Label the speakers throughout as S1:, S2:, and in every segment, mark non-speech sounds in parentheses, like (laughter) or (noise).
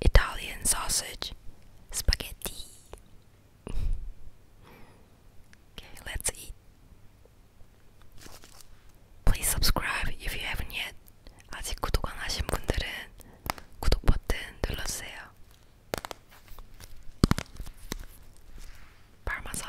S1: Italian sausage, spaghetti. (laughs) okay, let's eat. Please subscribe if you haven't yet. 아직 구독 안 하신 분들은 구독 버튼 눌러주세요. Parmesan.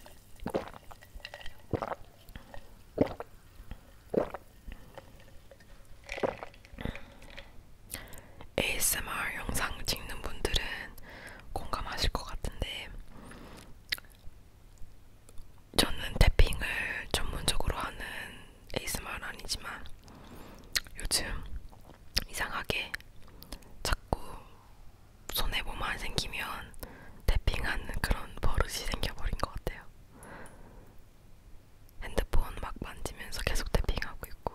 S1: ASMR 영상 찍는 분들은 공감하실 것 같은데 저는 태핑을 전문적으로 하는 ASMR은 아니지만 요즘 이상하게 자꾸 손에 몸안 생기면 태핑하는 그런 버릇이 생겨버린 것 같아요. 핸드폰 막 만지면서 계속 태핑하고 있고.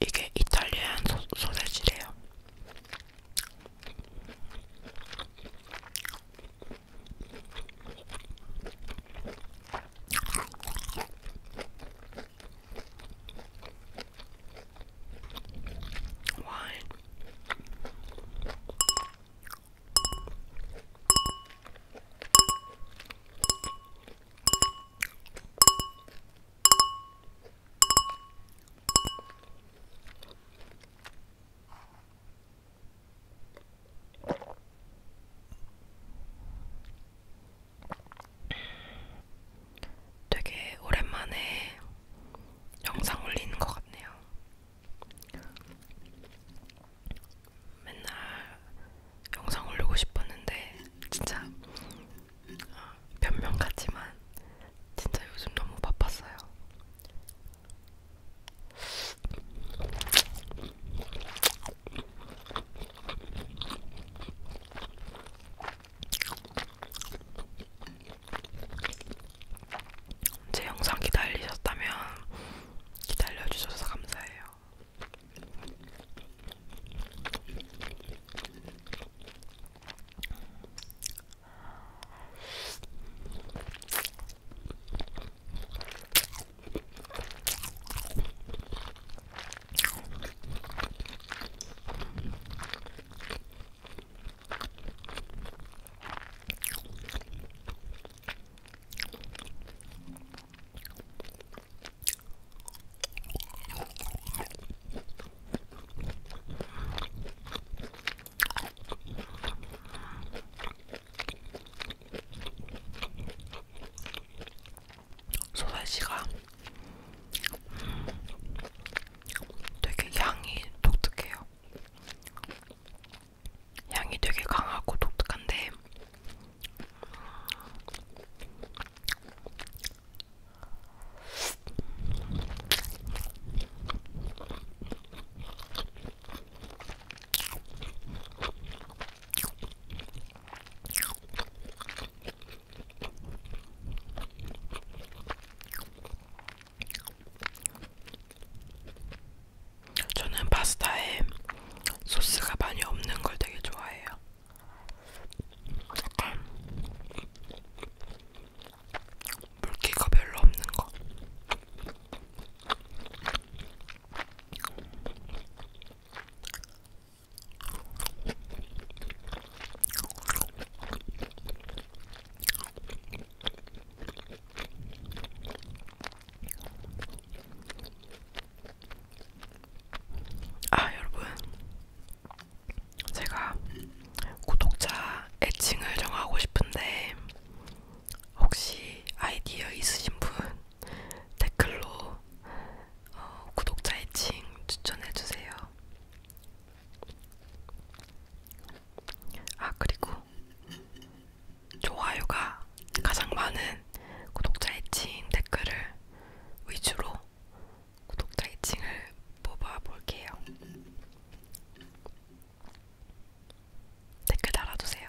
S1: 이게 이탈리안 소, 소세지래요. 와인 되게 오랜만에 영상 올리는 것 같네요. 맨날 영상 올리고 싶었는데 진짜 어, 변명 같지만 진짜 요즘 너무 바빴어요. 제 영상 기다리셨다면 기다려주셔서 감사해요. 소세지가 되게 향이 독특해요. 향이 되게 강하고 독특한데 저는 파스타에 소스가 많이 없는 걸 되게 좋아해요. 약간 물기가 별로 없는 거. 아 여러분 제가 구독자 애칭을 정하고 싶은데 혹시 아이디어 있으신 분 댓글로 어, 구독자 애칭 추천해주세요. 아 그리고 좋아요가 가장 많은 구독자 애칭 댓글을 위주로 구독자 애칭을 뽑아볼게요. 댓글 달아주세요.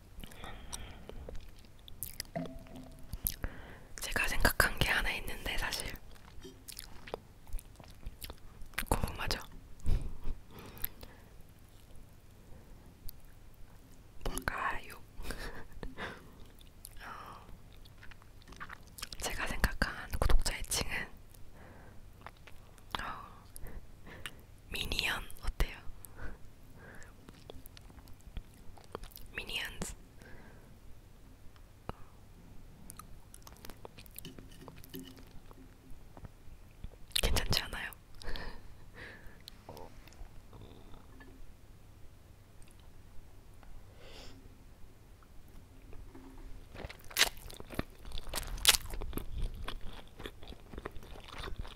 S1: 제가 생각한 게 하나 있는데 사실 궁금하죠? (laughs) 뭘까요? (laughs) 어, 제가 생각한 구독자 애칭은 어, 미니언 어때요? 미니언즈 괜찮지 않아요?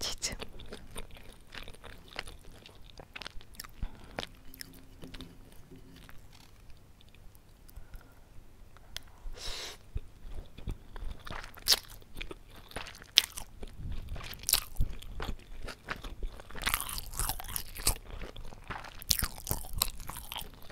S1: 치즈.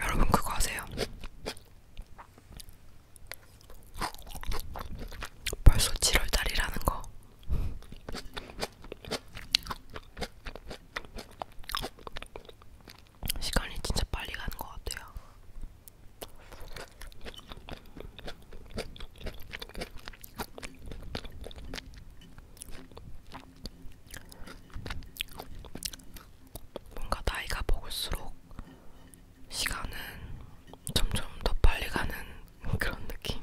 S1: 여러분 그거 아세요? 벌써 7월달이라는 거. 시간이 진짜 빨리 가는 것 같아요. 뭔가 나이가 먹을수록 시간은 점점 더 빨리 가는 (laughs) 그런 느낌.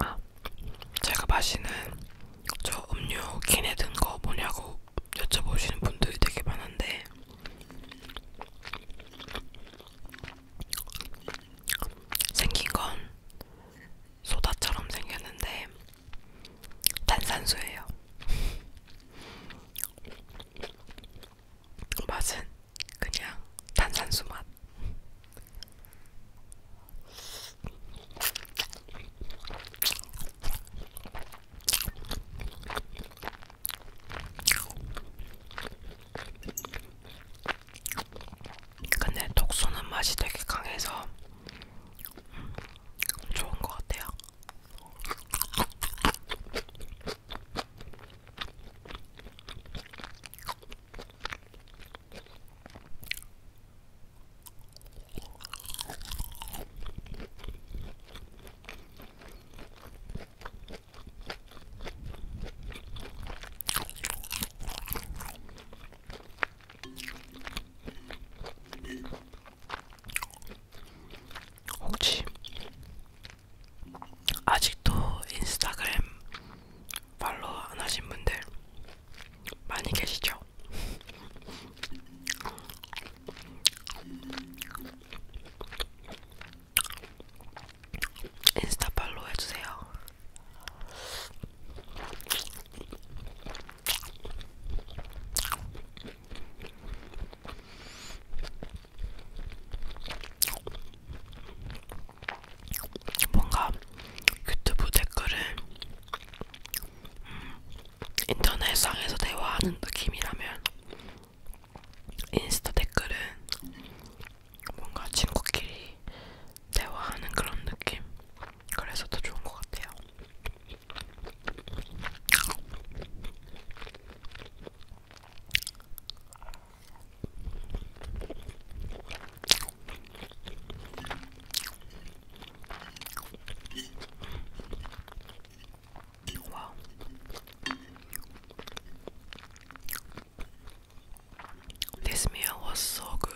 S1: 아, 제가 마시는 저 음료 캔에 든거 뭐냐고 여쭤보시는 분들이 되게 많은데 생긴 건 소다처럼 생겼는데 탄산수예요. 맛은 그냥 탄산수 맛. 근데 독소는 맛이 되게 강해서 음, 좋은 것 같아요. 혹시 아직도 인스타그램 팔로우 안 하신 분들 많이 계시죠? 인스타 팔로우 해주세요. 뭔가 유튜브 댓글을 음, 인터넷상에서 대화하는 느낌이라면 인스타 댓글은 뭔가 친구끼리 대화하는 그런 느낌 그래서 더 좋은 것 같아요 Wow. This meal was so good.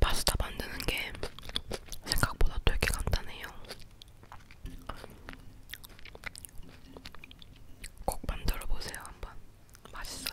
S1: 파스타 만드는 게 생각보다 되게 간단해요. 꼭 만들어 보세요 한번. 맛있어요.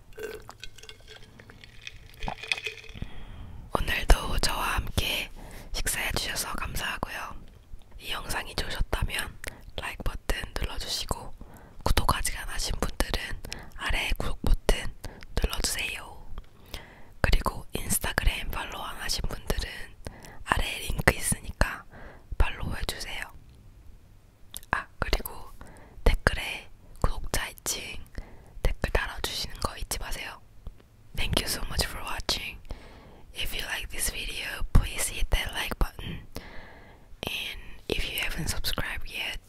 S1: 오늘도 저와 함께 식사해주셔서 감사하고요. 이 영상이 좋으셨다면 라이크 버튼 눌러주시고 구독 아직 안 하신 분들은 아래 구독 버튼 눌러주세요. 그리고 인스타그램 팔로우 안 하신 분들은 아래 링크 있으니까 팔로우 해주세요. 아 Thank you so much for watching. If you like this video, please hit that like button. And if you haven't subscribed yet,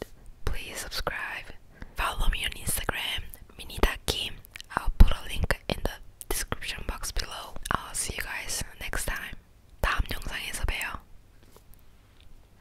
S1: please subscribe. Follow me on Instagram, Minitakim. I'll put a link in the description box below. I'll see you guys next time. 다음 영상에서 봬요.